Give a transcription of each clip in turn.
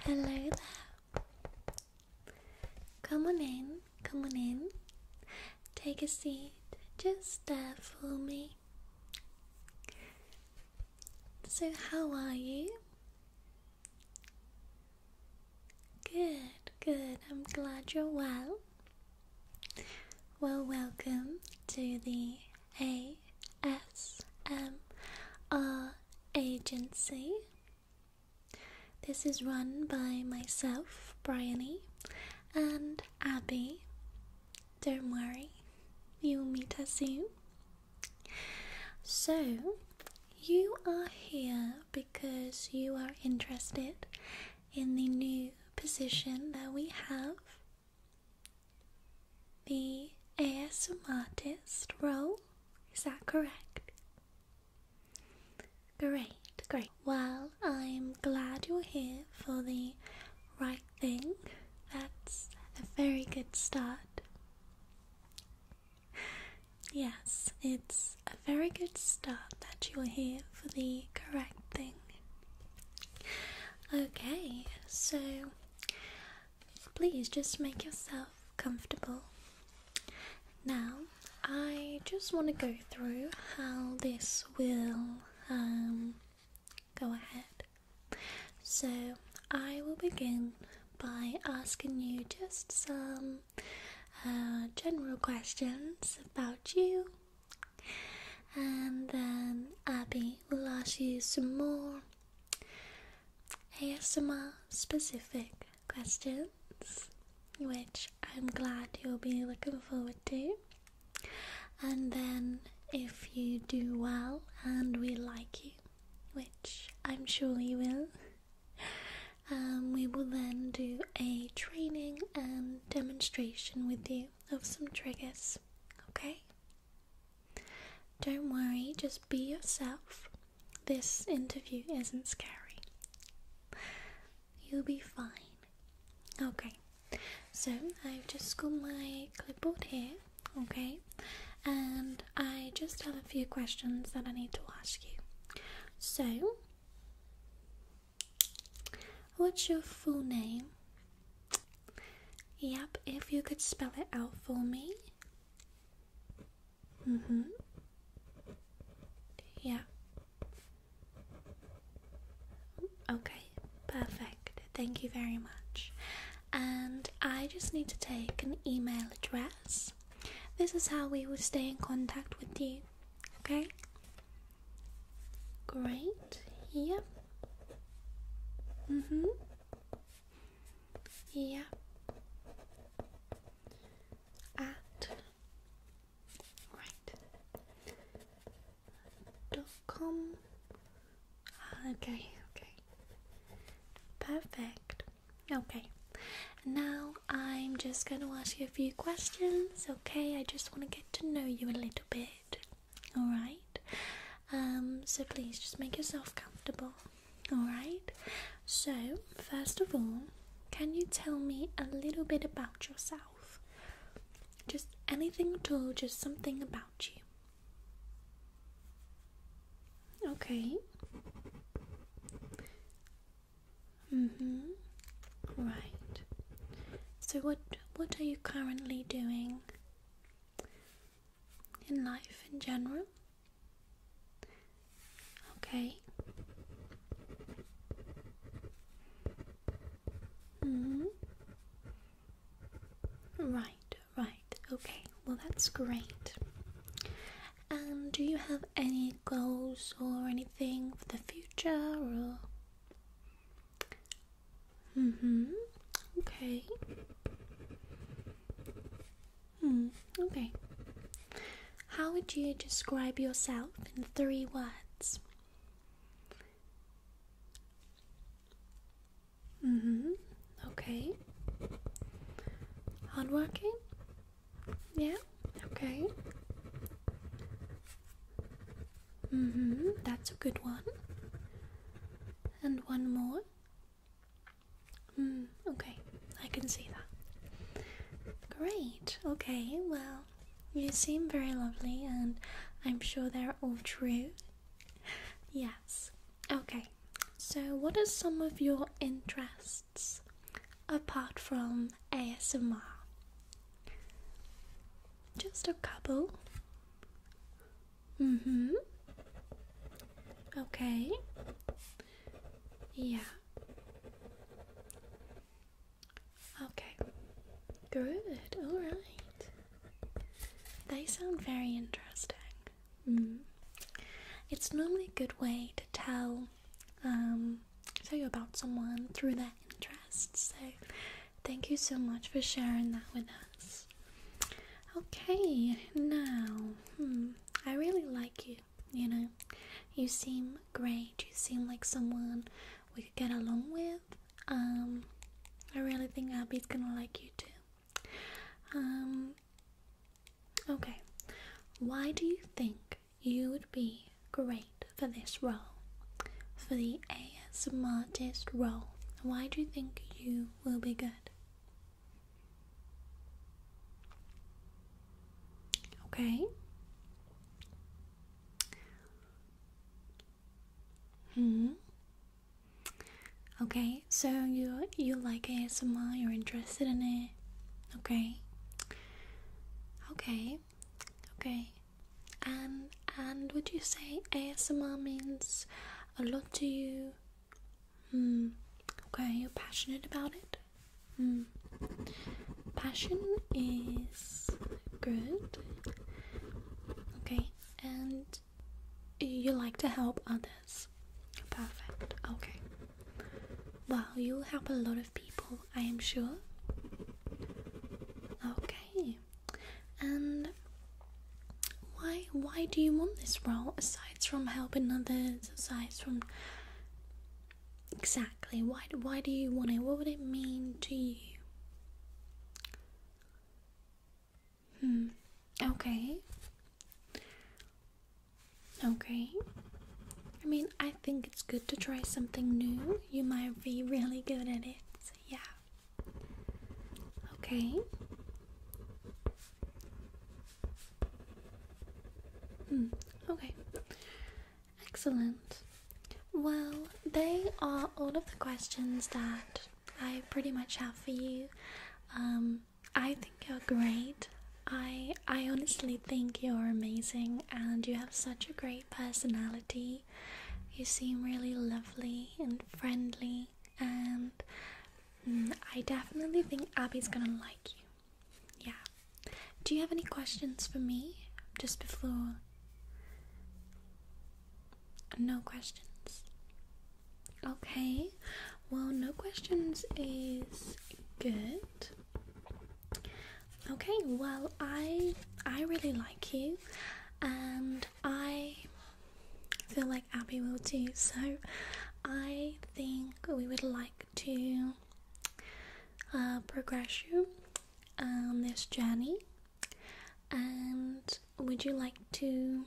Hello there. Come on in, come on in. Take a seat just there for me. So, how are you? Good, good. I'm glad you're well. Well, welcome to the a S M R agency. This is run by myself, Bryony, and Abby. Don't worry, you'll meet us soon. So, you are here because you are interested in the new position that we have the ASM role. Is that correct? Great, great. Well, I'm glad you're here for the right thing. That's a very good start. Yes, it's a very good start that you're here for the correct thing. Okay, so please just make yourself comfortable. Now, I just want to go through how this will um, go ahead. So, I will begin by asking you just some uh, general questions about you, and then Abby will ask you some more more specific questions, which I'm glad you'll be looking forward to. And then, if you do well and we like you, which I'm sure you will, um, we will then do a training and demonstration with you of some triggers. Okay? Don't worry, just be yourself. This interview isn't scary. You'll be fine. Okay, so I've just got my clipboard here, okay, and I just have a few questions that I need to ask you. So, what's your full name? Yep, if you could spell it out for me. Mm hmm. Yeah. Okay, perfect. Thank you very much. And I just need to take an email address. This is how we will stay in contact with you. Okay? Great. Yep. Mm hmm. Yeah. At right dot com. Ah, okay, okay. Perfect. Okay. Now I'm just gonna ask you a few questions, okay? I just wanna get to know you a little bit. Alright? Um, so please just make yourself comfortable. Alright? So, first of all, can you tell me a little bit about yourself? Just anything at all, just something about you. Okay. Mm-hmm. Right. So what what are you currently doing? in life in general? Okay. hmm. Right, right. Okay. Well, that's great. And um, do you have any goals or anything for the future or Mm-hmm. Okay. Hmm, okay. How would you describe yourself in three words? Mm-hmm. Okay. Hardworking? Yeah, okay. Mm-hmm, that's a good one and one more. Hmm, okay, I can see that. Great, okay, well, you seem very lovely, and I'm sure they're all true. Yes, okay, so what are some of your interests apart from ASMR? Just a couple. Mm-hmm. Okay. Yeah. Okay. Good. All right. They sound very interesting. Mm. It's normally a good way to tell um, tell you about someone through their interests. So Thank you so much for sharing that with us. Okay, now, hmm, I really like you. You know, you seem great. You seem like someone we could get along with. Um, I really think Abby's gonna like you too. Um, okay, why do you think you would be great for this role? For the a? smartest role? Why do you think you will be good? Okay. Hmm. Okay, so you you like ASMR, you're interested in it. Okay. Okay. Okay. Um, and would you say ASMR means a lot to you? Hmm, okay, you're passionate about it? Hmm. Passion is good. Okay, and you like to help others. Perfect. Okay. Well, you help a lot of people, I am sure. Okay, and why why do you want this role aside from helping others aside from exactly why why do you want it what would it mean to you hmm okay okay i mean i think it's good to try something new you might be really good at it yeah Okay. Mm, okay. Excellent. Well, they are all of the questions that I pretty much have for you. Um, I think you're great. I I honestly think you're amazing and you have such a great personality. You seem really lovely and friendly, and mm, I definitely think Abby's gonna like you. Yeah. Do you have any questions for me just before? No questions. Okay. Well, no questions is good. Okay, well, I I really like you, and I feel like Abby will too. So I think we would like to uh, progress you on this journey. And would you like to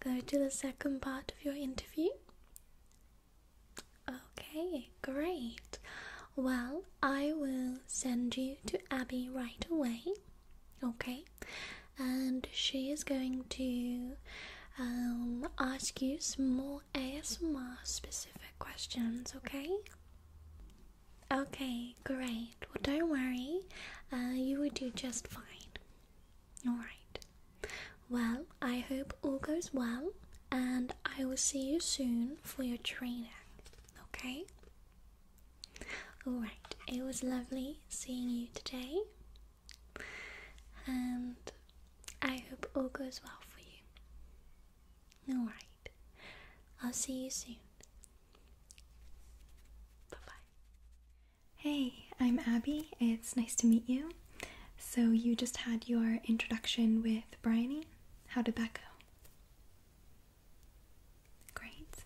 go to the second part of your interview? Okay, great. Well, I will send you to Abby right away. Okay, and she is going to um, ask you some more ASMR specific questions. Okay. Okay, great. Well, don't worry, uh, you will do just fine. All right. Well, I hope all goes well, and I will see you soon for your training. Okay. Alright, it was lovely seeing you today, and I hope all goes well for you. Alright, I'll see you soon. Bye bye. Hey, I'm Abby. It's nice to meet you. So, you just had your introduction with Bryony. How did that go? Great.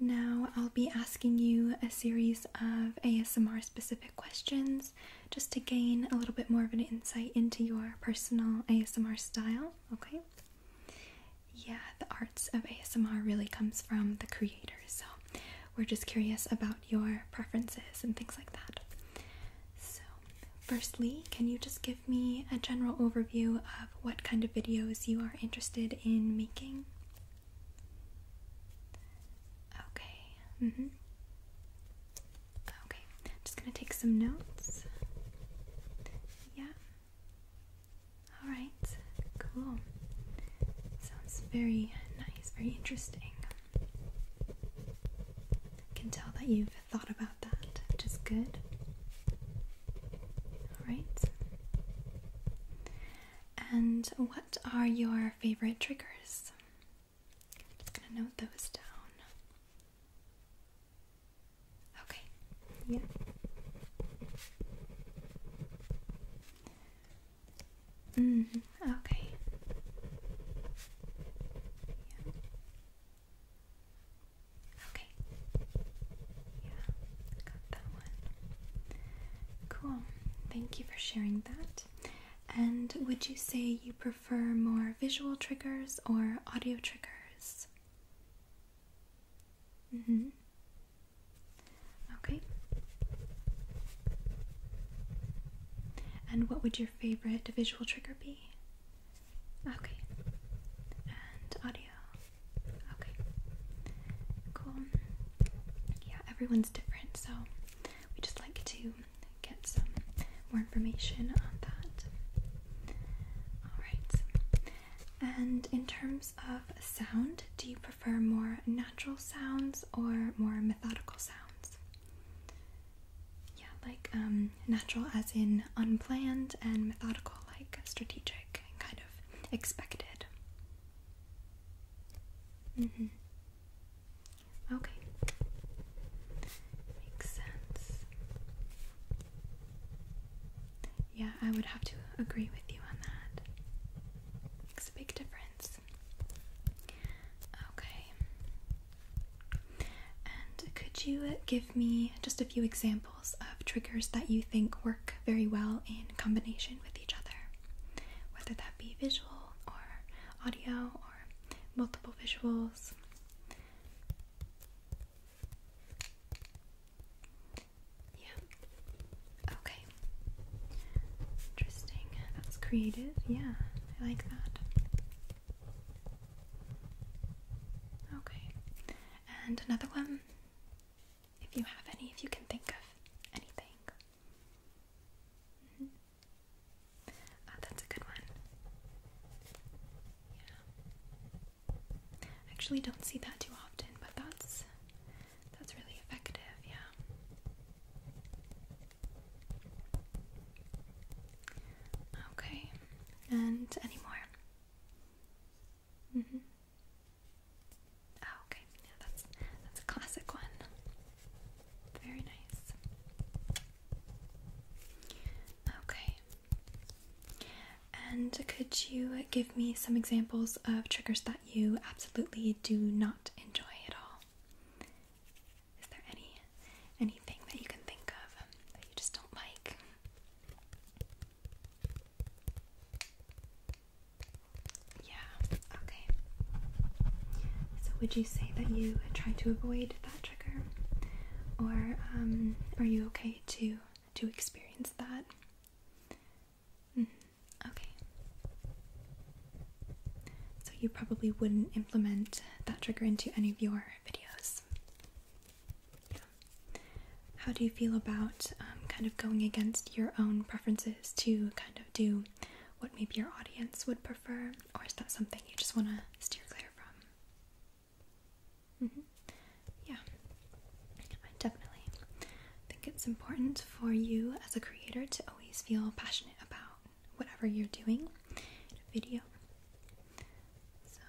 Now I'll be asking you a series of ASMR specific questions just to gain a little bit more of an insight into your personal ASMR style, okay? Yeah, the arts of ASMR really comes from the creators, so we're just curious about your preferences and things like that. So, firstly, can you just give me a general overview of? what kind of videos you are interested in making? Okay. Mhm. okay. just going to take some notes. Yeah. All right. Cool. Sounds very nice, very interesting. I can tell that you've thought about that, which is good. Alright. And what are your favorite triggers? just gonna note those down. Okay. Yeah. Mm, okay. Okay. Yeah, got that one. Cool. Thank you for sharing that. And would you say you prefer more visual triggers or audio triggers? Mm hmm. Okay. And what would your favorite visual trigger be? Okay. And audio. Okay. Cool. Yeah, everyone's different, so we just like to get some more information on that. Alright. And in terms of sound, do you prefer more natural sounds or more methodical sounds? Yeah, like um natural as in unplanned and methodical like strategic and kind of expected mm-hmm okay makes sense yeah i would have to agree with you on that makes a big difference okay and could you give me just a few examples of triggers that you think work very well in combination with each other, whether that be visual or audio or multiple visuals. Yeah. Okay. Interesting. That's creative. Yeah, I like that. Okay. And another one, if you have any, if you can think of anything. Mm-hmm. Ah, that's a good one. Yeah. Actually, don't see that too often, but that's that's really effective. Yeah. Okay. And any more? Mm -hmm. okay. Yeah, that's that's a classic one. Very nice. Okay. And could you give me some examples of triggers that you absolutely do not enjoy at all? Is there any anything that you can think of that you just don't like? Yeah, okay. So, would you say that you try to avoid that trigger, or um, are you okay to to experience that? Mm-hmm, okay. So you probably wouldn't implement that trigger into any of your videos how do you feel about um, kind of going against your own preferences to kind of do what maybe your audience would prefer, or is that something you just want to steer clear from? Mm-hmm. Yeah, I definitely think it's important for you as a creator to always feel passionate about whatever you're doing video. So,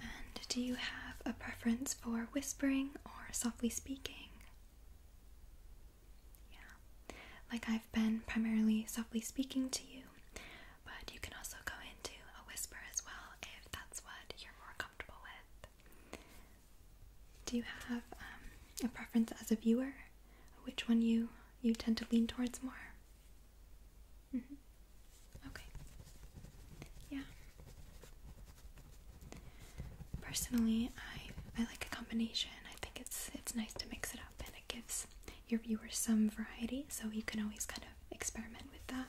and do you have a preference for whispering or softly speaking? Yeah, like I've been primarily softly speaking to you, but you can also go into a whisper as well if that's what you're more comfortable with. Do you have um, a preference as a viewer? Which one you you tend to lean towards more? Mm-hmm. Okay. Yeah. Personally, I I like a combination. I think it's it's nice to mix it up, and it gives your viewers some variety. So you can always kind of experiment with that.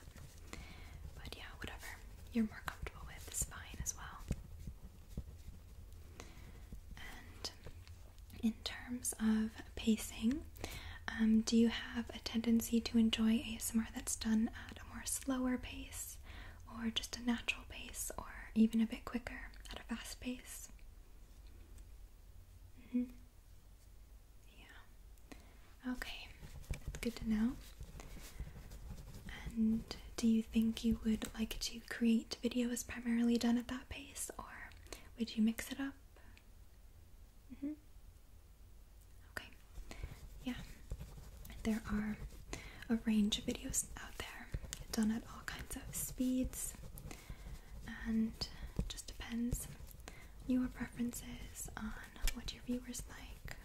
But yeah, whatever you're more comfortable with is fine as well. And in terms of pacing. Um, do you have a tendency to enjoy ASMR that's done at a more slower pace, or just a natural pace, or even a bit quicker at a fast pace? Mm-hmm. Yeah. Okay, that's good to know. And do you think you would like to create videos primarily done at that pace, or would you mix it up? Mm-hmm. Okay. Yeah. There are a range of videos out there done at all kinds of speeds and just depends your preferences on what your viewers like.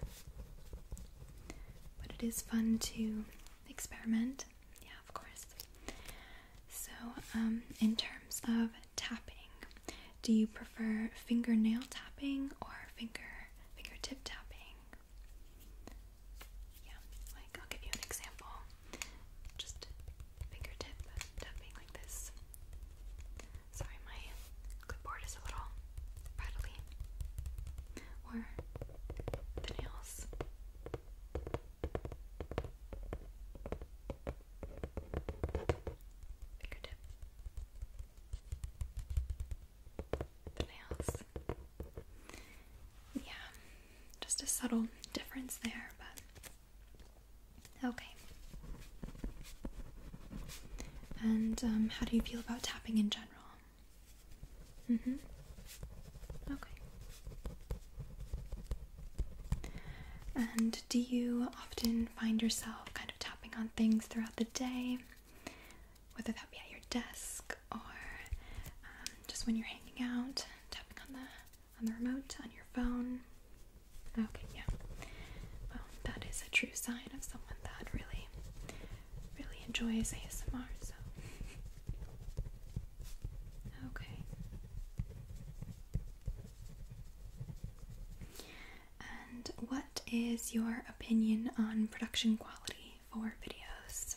But it is fun to experiment. Yeah, of course. So, um, in terms of tapping. Do you prefer fingernail tapping or finger fingertip tapping? Yeah, like I'll give you an example. Just fingertip tapping like this. Sorry, my clipboard is a little rattly. Or the nails nails. Yeah, just a subtle difference there, but okay. And um, how do you feel about tapping in general? Mm hmm. Okay. And do you often find yourself kind of tapping on things throughout the day? Whether that be at your desk or um, just when you're hanging out, tapping on the on the remote on your phone. Okay, yeah. Well, that is a true sign of someone that really, really enjoys ASMR. So, okay. And what is your opinion on production quality for videos?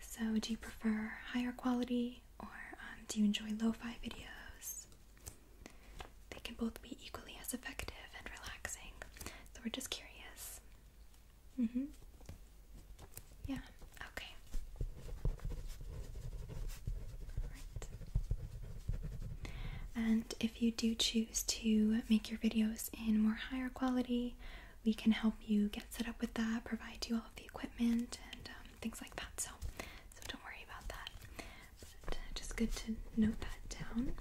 So, do you prefer higher quality or um, do you enjoy lo fi videos? They can both be equally as effective and relaxing. So, we're just curious. Mm hmm. Yeah, okay. And if you do choose to make your videos in more higher quality, we can help you get set up with that, provide you all of the equipment and um, things like that. So, so don't worry about that. But uh, just good to note that down.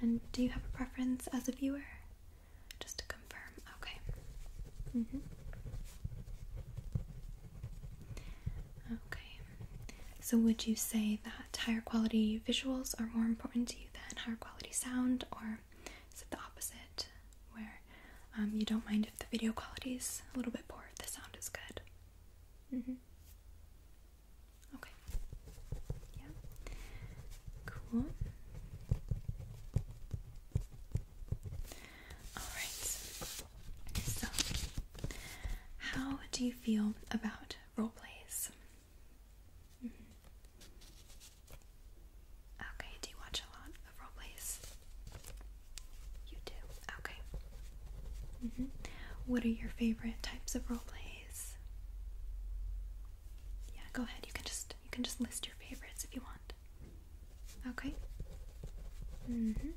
And do you have a preference as a viewer? Just to confirm. Okay. Mm-hmm. Okay. So would you say that higher quality visuals are more important to you than higher quality sound, or is it the opposite, where um, you don't mind if the video quality is a little bit poor if the sound is good? Mm-hmm. Okay. Yeah. Cool. Alright, so how do you feel about role plays? Mm-hmm. Okay, do you watch a lot of role plays? You do, okay. Mm-hmm. What are your favorite types of role plays? Yeah, go ahead. You can just you can just list your favorites if you want. Okay. Mm-hmm.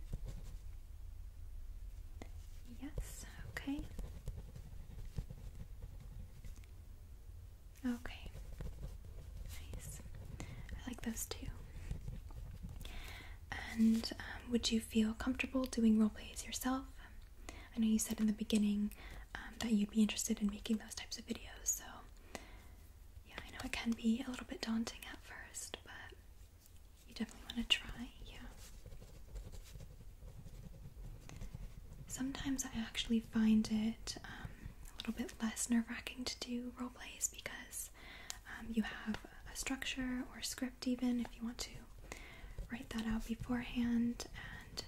Yes, okay. Okay. Nice. I like those too. And um, would you feel comfortable doing role plays yourself? I know you said in the beginning um, that you'd be interested in making those types of videos, so yeah, I know it can be a little bit daunting at first, but you definitely want to try, yeah. Sometimes I actually find it um, a little bit less nerve wracking to do role plays because um, you have a structure or script, even if you want to write that out beforehand, and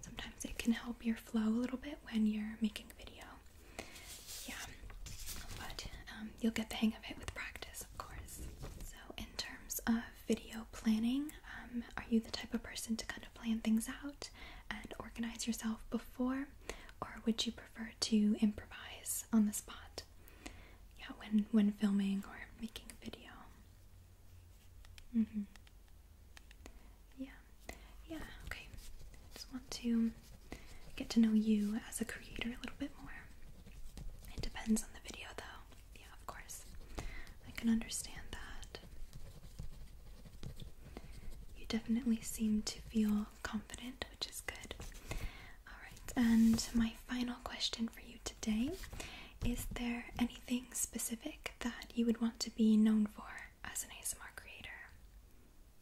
sometimes it can help your flow a little bit when you're making a video. Yeah, but um, you'll get the hang of it with practice, of course. So, in terms of video planning, um, are you the type of person to kind of plan things out and organize yourself before, or would you prefer to improvise on the spot? Yeah, when when filming or making a video. Mm-hmm. Yeah yeah, okay. Just want to get to know you as a creator a little bit more. It depends on the video, though. Yeah, of course. I can understand that. You definitely seem to feel confident, which is good. Alright, and my final question for you today is there anything specific that you would want to be known for? as an ASMR creator?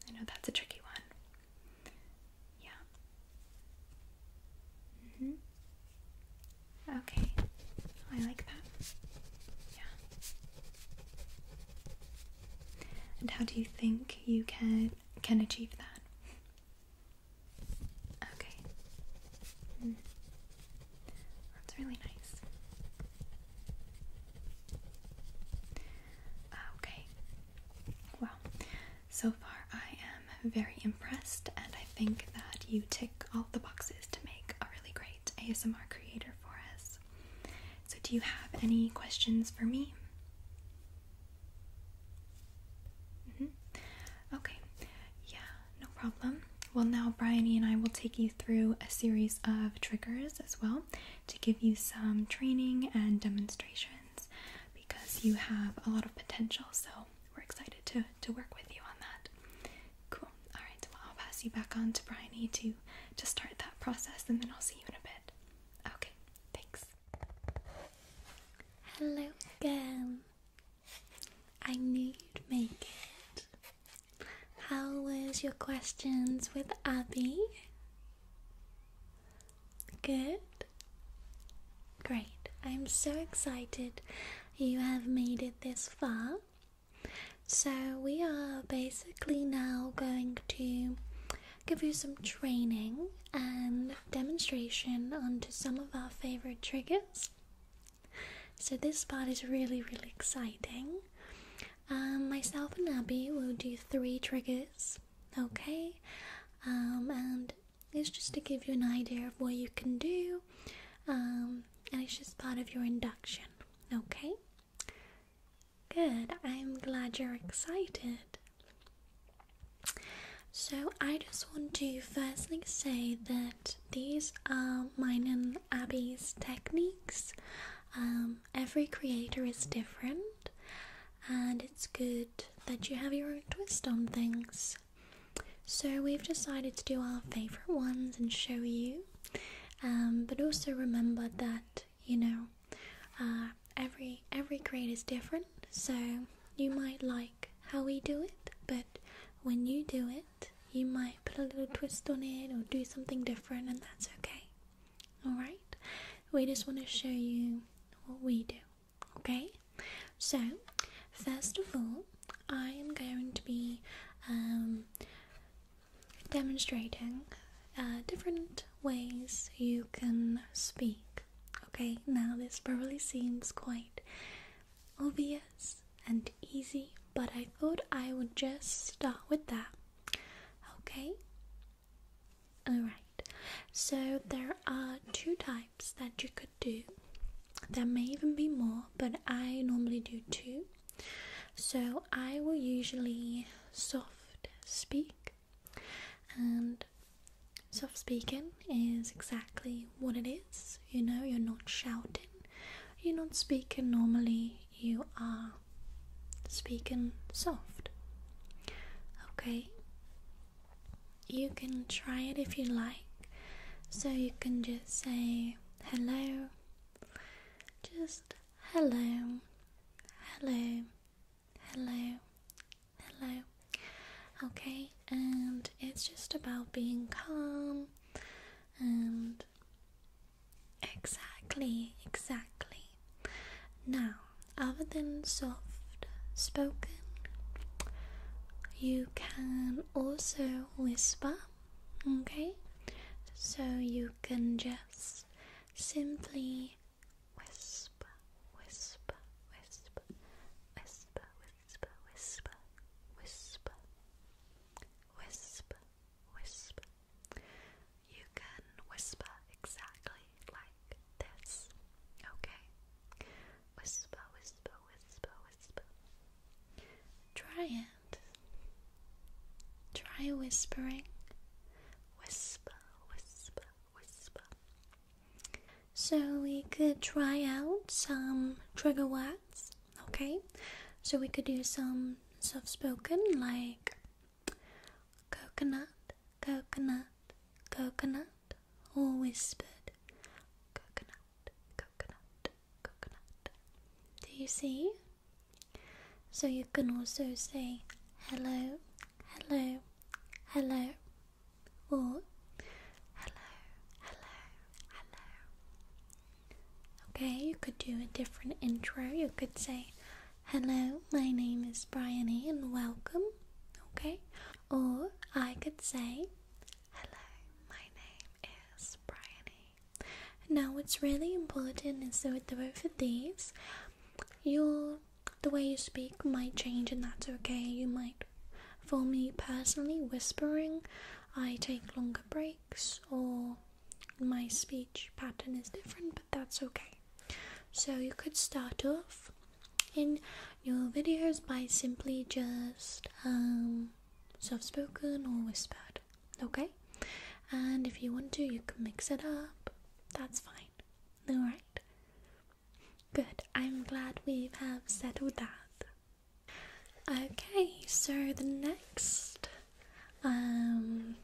I know that's a tricky one. Yeah. Mm-hmm. Okay. Oh, I like that. Yeah. And how do you think you can can achieve that? Okay. Mm. That's really nice. Okay. Well, so far I am very impressed, and I think that you tick all the boxes to make a really great ASMR creator for us. So, do you have any questions for me? Mm-hmm. Okay, yeah, no well, now Bryony and I will take you through a series of triggers as well to give you some training and demonstrations because you have a lot of potential. So we're excited to, to work with you on that. Cool. All right. Well, I'll pass you back on to Bryony to to start that process, and then I'll see you in a bit. Okay. Thanks. Hello, girl. I knew you'd make it. How was your questions with Abby? Good. Great. I'm so excited you have made it this far. So, we are basically now going to give you some training and demonstration onto some of our favorite triggers. So this part is really, really exciting. Um, myself and Abby will do three triggers, okay? Um, and it's just to give you an idea of what you can do, um, and it's just part of your induction, okay? Good, I'm glad you're excited. So, I just want to firstly say that these are mine and Abby's techniques. Um, every creator is different, and it's good that you have your own twist on things. So, we've decided to do our favorite ones and show you, um, but also remember that you know uh, every every creator is different. So you might like how we do it, but when you do it, you might put a little twist on it or do something different, and that's okay. Alright? We just want to show you what we do, okay? So, first of all, I am going to be um, demonstrating uh, different ways you can speak. Okay, now this probably seems quite obvious, and easy, but I thought I would just start with that. Okay? Alright, so there are two types that you could do. There may even be more, but I normally do two. So I will usually soft speak, and soft speaking is exactly what it is. You know, you're not shouting, you're not speaking normally, you are speaking soft. Okay, you can try it if you like. So you can just say hello, just hello, hello, hello, hello. Okay, and it's just about being calm and Exactly, exactly. Now, other than soft spoken, you can also whisper, okay? So you can just simply whisper, whisper, whisper, whisper, whisper, whisper, whisper, whisper, whisper. You can whisper exactly like this, okay? Whisper, whisper, whisper, whisper. Try it. Try whispering. Whisper, whisper, whisper. So, we could try out some trigger words okay? So we could do some soft spoken like coconut, coconut, coconut, or whispered coconut, coconut, coconut. Do you see? So you can also say hello, hello, hello, or hello, hello, hello. Okay, you could do a different intro. You could say, Hello, my name is Bryony and welcome. Okay? Or I could say, Hello, my name is Bryony. Now, what's really important is that with both of these, your the way you speak might change, and that's okay. You might, for me personally, whispering, I take longer breaks or my speech pattern is different, but that's okay. So you could start off in your videos by simply just um, soft spoken or whispered, okay? And if you want to, you can mix it up. That's fine. Alright? Good. I'm glad we have settled that. Okay, so the next um,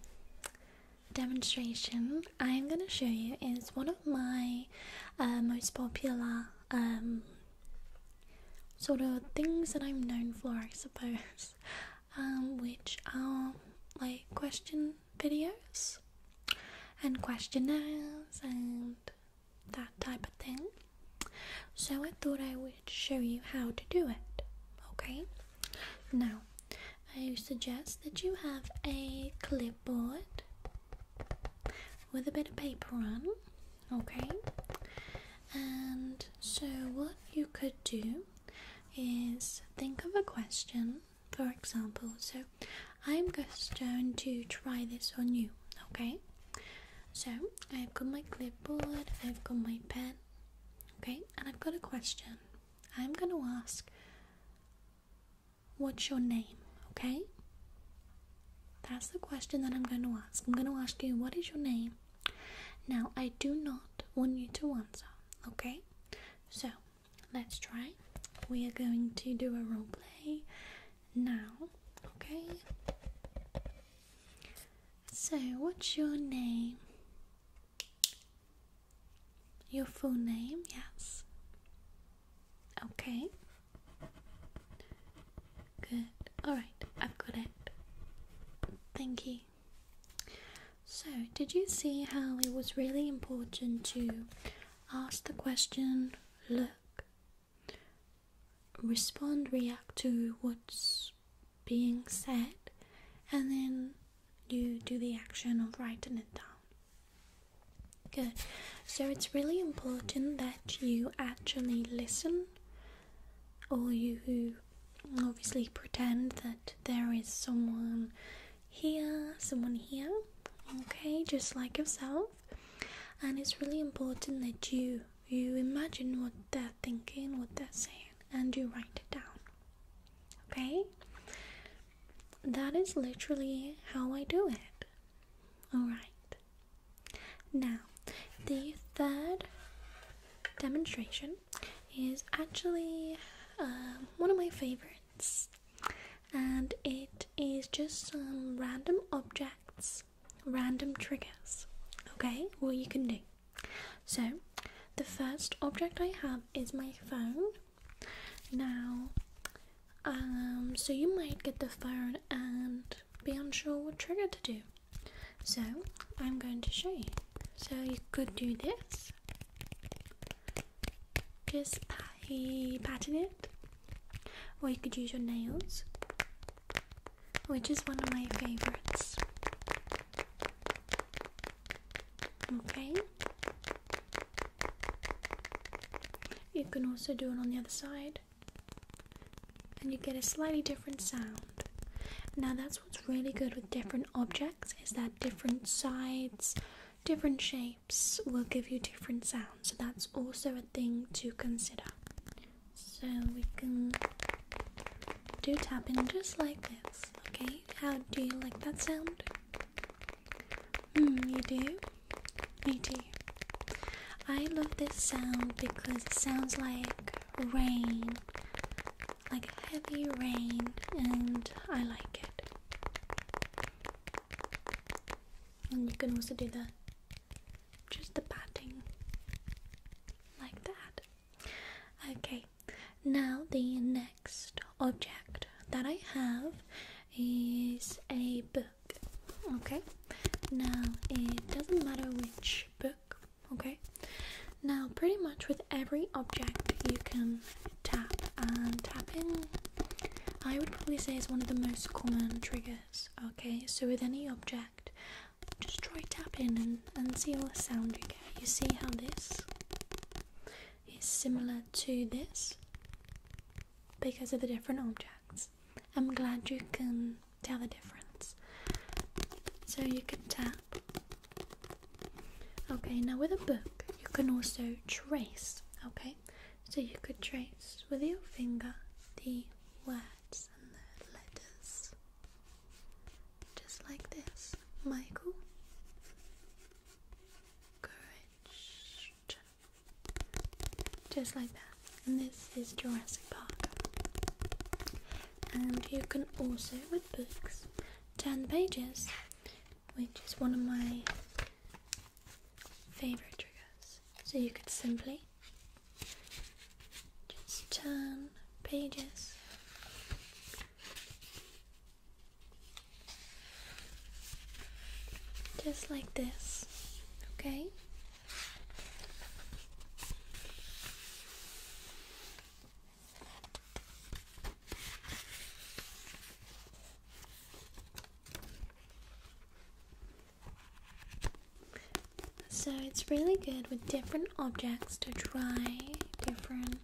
demonstration I'm going to show you is one of my uh, most popular um, sort of things that I'm known for, I suppose, um, which are like question videos and questionnaires and that type of thing. So I thought I would show you how to do it. Okay? Now, I suggest that you have a clipboard with a bit of paper on. Okay? And so what you could do is think of a question, for example. So I'm just going to try this on you, okay? So I've got my clipboard, I've got my pen, okay, and I've got a question. I'm gonna ask, What's your name? Okay, that's the question that I'm gonna ask. I'm gonna ask you, What is your name? Now, I do not want you to answer, okay, so let's try. We are going to do a role play now, okay. So, what's your name? Your full name, yes. Okay. Good. Alright, I've got it. Thank you. So, did you see how it was really important to ask the question, look, respond, react to what's being said, and then you do the action of writing it down. Good. So it's really important that you actually listen, or you obviously pretend that there is someone here, someone here, okay, just like yourself. And it's really important that you you imagine what they're thinking, what they're saying, and you write it down. Okay? That is literally how I do it. Alright. Now, the third demonstration is actually um, one of my favorites, and it is just some random objects random triggers. Okay, what you can do. So, the first object I have is my phone. Now, um, so you might get the phone and be unsure what trigger to do. So, I'm going to show you. So, you could do this just patting it, or you could use your nails which is one of my favorites. Okay. You can also do it on the other side, and you get a slightly different sound. Now, that's what's really good with different objects is that different sides, different shapes will give you different sounds. So, that's also a thing to consider. So we can do tapping just like this, okay? How do you like that sound? Mm, you do? Me too. I love this sound because it sounds like rain, like heavy rain, and I like it. And you can also do that just the padding, like that. Okay, now the next object that I have is a book. Okay, now it doesn't matter which book. Okay, now pretty much with every object you can tap and tapping. I would probably say is one of the most common triggers. Okay, so with any object, just try tapping and, and see what sound you get. You see how this is similar to this because of the different objects. I'm glad you can tell the difference. So you could tap. Okay, now with a book, you can also trace. Okay, so you could trace with your finger the word and the letters. Just like this, Michael. Courage. Just like that. And this is Jurassic Park. And you can also, with books, turn pages, which is one of my favorite triggers. So you could simply just turn pages. Just like this, okay? So it's really good with different objects to try different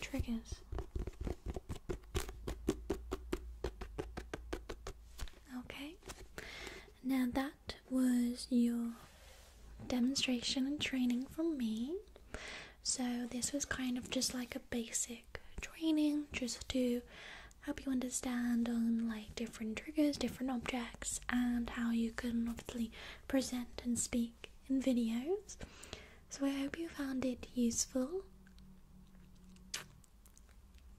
triggers. Okay, now that was your demonstration and training from me. So, this was kind of just like a basic training just to help you understand on like different triggers, different objects, and how you can obviously present and speak in videos. So I hope you found it useful.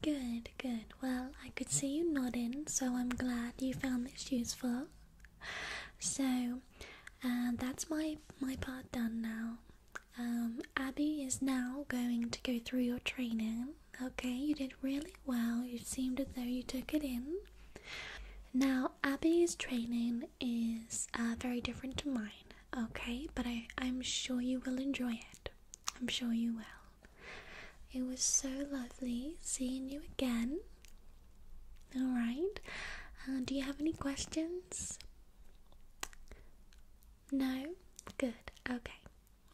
Good, good. Well, I could see you nodding, so I'm glad you found this useful. So, uh, that's my my part done now. Um, Abby is now going to go through your training, Okay, you did really well. You seemed as though you took it in. Now, Abby's training is uh, very different to mine, okay? But I, am sure you will enjoy it. I'm sure you will. It was so lovely seeing you again. Alright. Uh, do you have any questions? No? Good. Okay.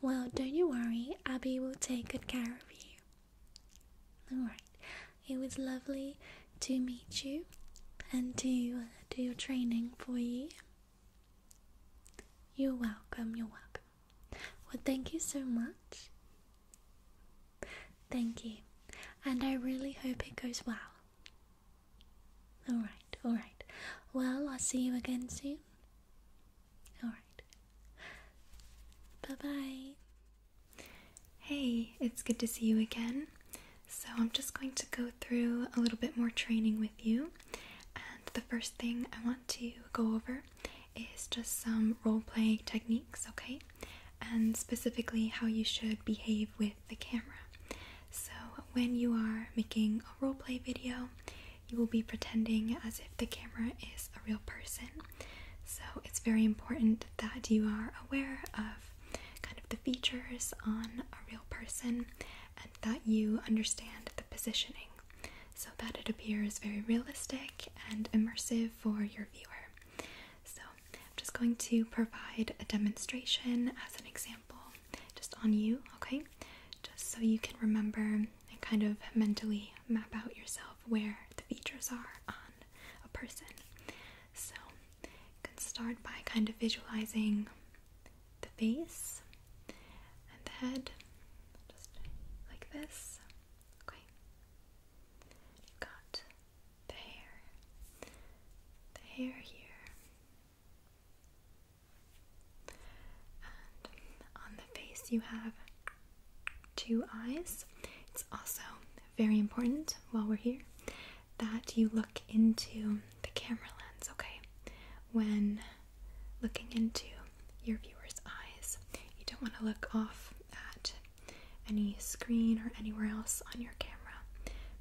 Well, don't you worry, Abby will take good care of you. Alright, it was lovely to meet you and to uh, do your training for you. You're welcome, you're welcome. Well, thank you so much. Thank you, and I really hope it goes well. Alright, alright. Well, I'll see you again soon. Alright. Bye bye. Hey, it's good to see you again. So, I'm just going to go through a little bit more training with you. And the first thing I want to go over is just some role play techniques, okay? And specifically how you should behave with the camera. So, when you are making a role play video, you will be pretending as if the camera is a real person. So it's very important that you are aware of kind of the features on a real person and that you understand the positioning so that it appears very realistic and immersive for your viewer. So I'm just going to provide a demonstration as an example just on you, okay? just so you can remember and kind of mentally map out yourself where the features are on a person. So you can start by kind of visualizing the face and the head, just like this. Okay. You've got the hair, the hair here, on the face, you have two eyes. It's also very important while we're here that you look into the camera lens, okay? When looking into your viewer's eyes, you don't want to look off at any screen or anywhere else on your camera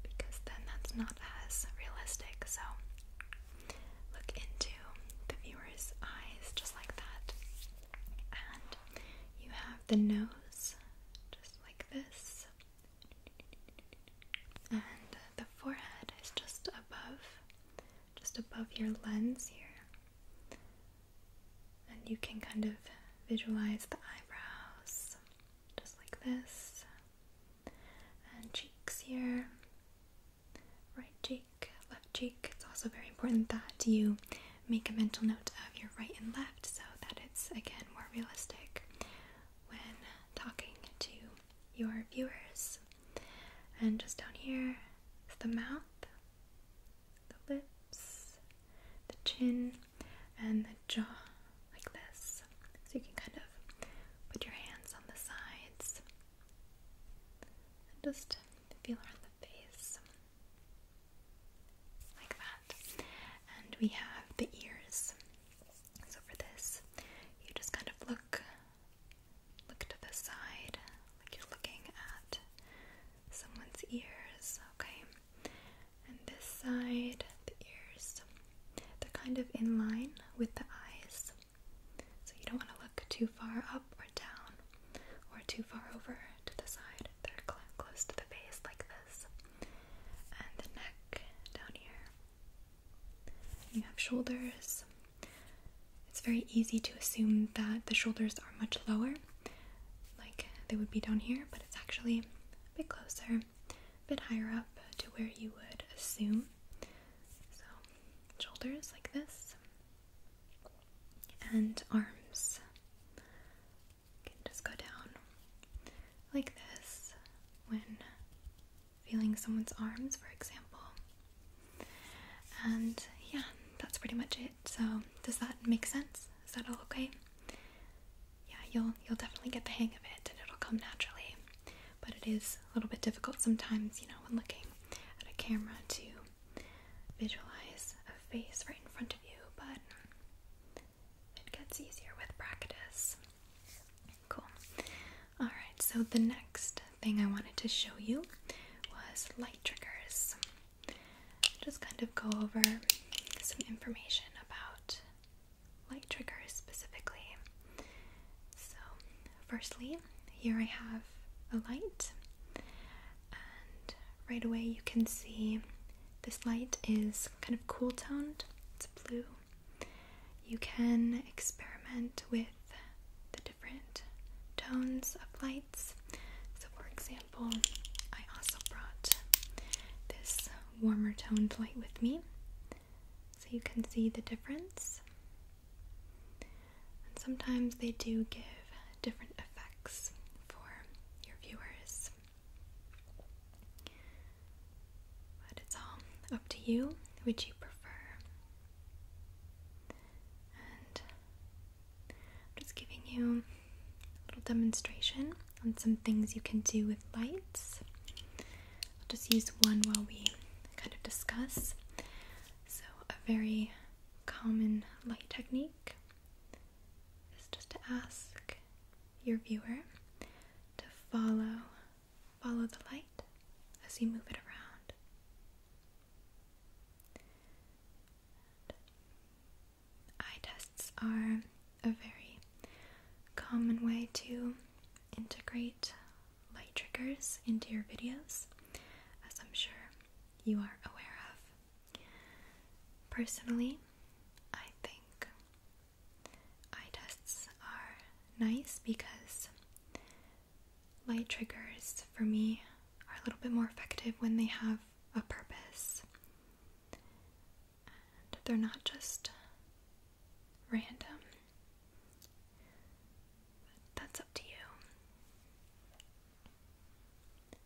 because then that's not as realistic. So look into the viewer's eyes just like that. And you have the nose just like this. And the forehead is just above, just above your lens here. And you can kind of visualize the eyebrows just like this. And cheeks here right cheek, left cheek. It's also very important that you make a mental note of your right and left so that it's again more realistic when talking to your viewers. And just down here is the mouth, the lips, the chin, and the jaw, like this. So you can kind of put your hands on the sides and just feel around the face. Like that. And we have the ears. So for this, you just kind of look look to the side, like you're looking at someone's ears, okay? And this side, the ears, they're kind of in line with the eyes. So you don't want to look too far up or down or too far over to the side. They're close to the base, like this. And the neck down here. You have shoulders. It's very easy to assume that the shoulders are much lower, like they would be down here, but it's actually a bit closer, a bit higher up to where you would assume shoulders like this, and arms. can just go down like this when feeling someone's arms, for example. And yeah, that's pretty much it. So does that make sense? Is that all okay? Yeah, you'll you'll definitely get the hang of it, and it'll come naturally but it is a little bit difficult sometimes, you know, when looking at a camera to visualize a face right in front of you, but it gets easier with practice. Cool. Alright, so the next thing I wanted to show you was light triggers. Just kind of go over some information about light triggers specifically. So, Firstly, here I have a light, and right away you can see this light is kind of cool toned, it's blue. You can experiment with the different tones of lights. So, for example, I also brought this warmer toned light with me, so you can see the difference. And sometimes they do give different effects for your viewers. But it's all up to you which you prefer. And just giving you a little demonstration on some things you can do with lights. I'll just use one while we kind of discuss. So, a very common light technique is just to ask your viewer to follow follow the light as you move it around. eye tests are a very common way to integrate light triggers into your videos, as I'm sure you are aware of. Personally, I think eye tests are nice because light triggers for me are a little bit more effective when they have a purpose. And they're not just random. that's up to You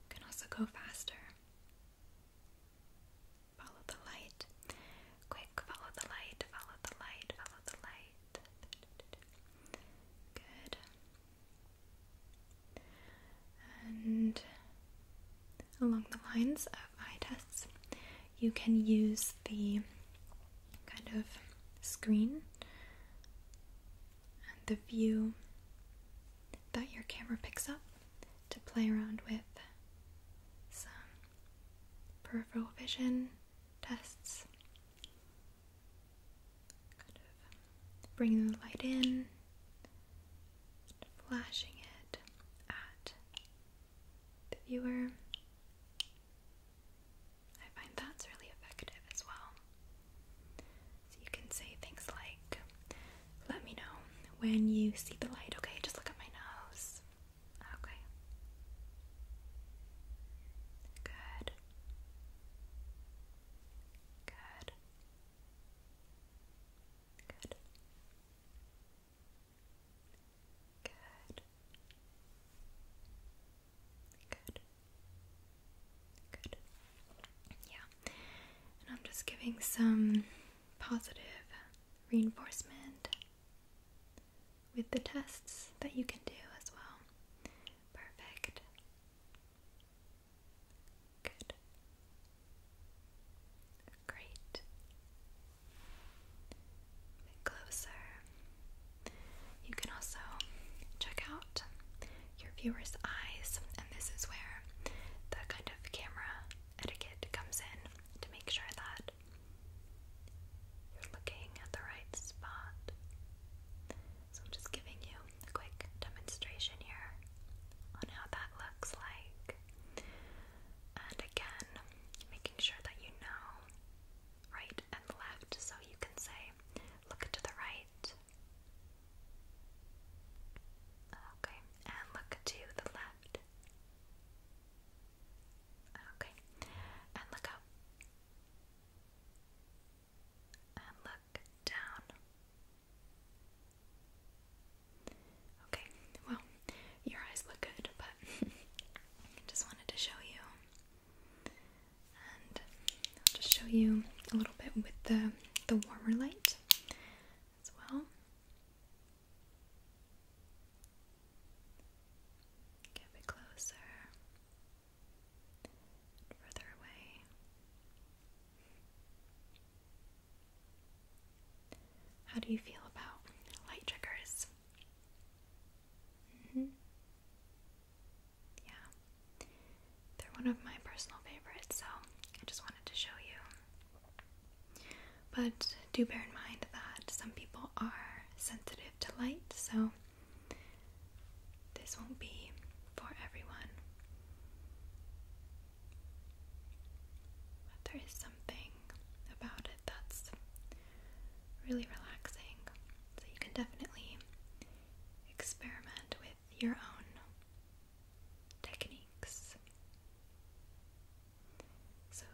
can also go faster. Follow the light. Quick, follow the light, follow the light, follow the light. Good. And along the lines of eye tests, you can use the kind of screen and the view that your camera picks up to play around with some peripheral vision tests. Kind of bringing the light in, flashing it at the viewer. I find that's really effective as well. So you can say things like, let me know when you see the light. Okay, just look at my nose. Okay. Good. Good. Good. Good. Good. Good. Yeah. And I'm just giving some positive reinforcement with the tests that you can do as well. Perfect. Good. Great closer. You can also check out your viewer's eyes, and this is where the kind of camera etiquette comes in to make sure that you're looking at the right spot. So, I'm just giving you a quick demonstration here on how that looks like, and again, making sure that you know right and left. So you can say, look to the right. Okay, and look to the left. Okay, and look up. And look down. Okay, well, your eyes look good, but I just wanted to show you. And I'll just show you a little bit with the, the warmer light as well. Get a bit closer, further away. How do you feel about light triggers? Mm -hmm. Yeah. They're one of my personal favorites, so I just wanted to show you. But do bear in mind that some people are sensitive to light, so this won't be for everyone. there is some something about it that's really relaxing. So you can definitely experiment with your own techniques. So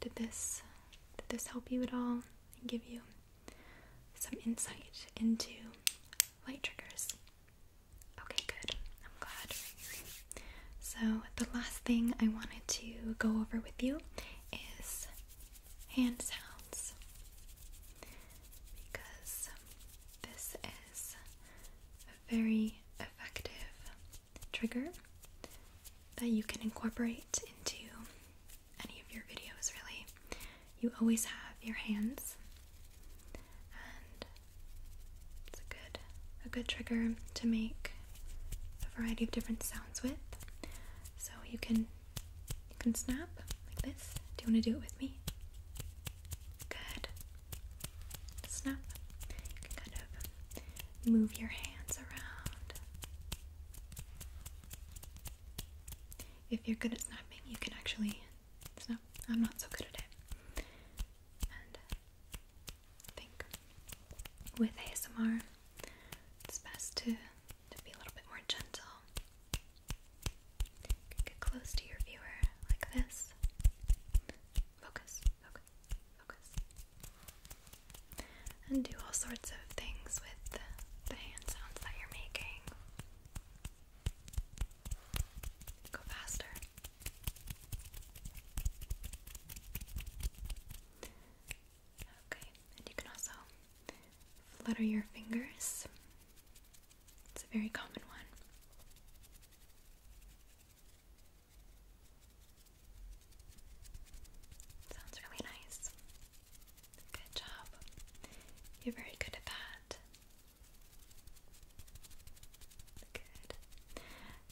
did this did this help you at all and give you some insight into light triggers? Okay, good. I'm glad. So the last thing I wanted to go over with you is hand sounds because this is a very effective trigger that you can incorporate into any of your videos, really. You always have your hands, and it's a good, a good trigger to make a variety of different sounds. So you can you can snap like this. Do you want to do it with me? Good. Snap. You can kind of move your hands around. If you're good at snapping, you can actually snap. I'm not so good at it think with ASMR, it's best to, to be a little bit more gentle. Get close to your viewer like this. Focus, focus, focus. And do all sorts of things with the, the hand sounds that you're making. Go faster. Okay, and you can also flutter your fingers. It's a very common one. Sounds really nice. Good job. You're very good at that. Good.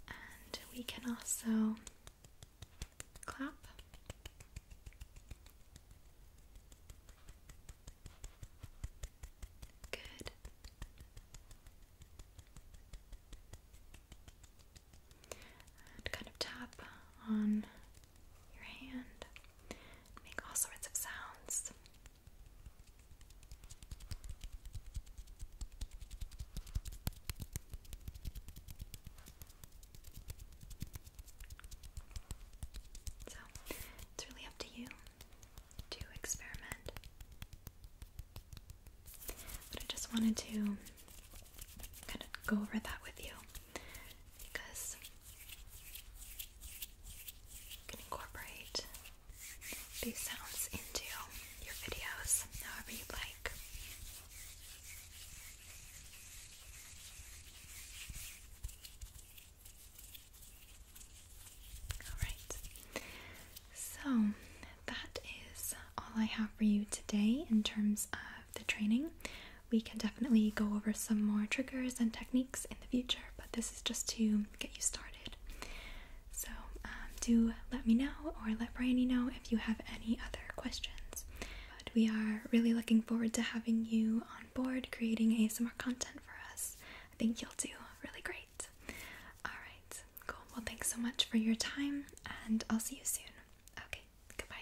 And we can also clap. Good. And kind of tap on your hand, make all sorts of sounds. So, it's really up to you to experiment. But I just wanted to kind of go over that with you because you can incorporate these sounds into your videos however you like. Alright, so that is all I have for you today in terms of the training. We can definitely go over some more triggers and techniques in the future, but this is just to get you started. So, um, do let me know or let Bryony know if you have any other questions. But we are really looking forward to having you on board creating ASMR content for us. I think you'll do really great. Alright, cool. Well, thanks so much for your time, and I'll see you soon. Okay, goodbye.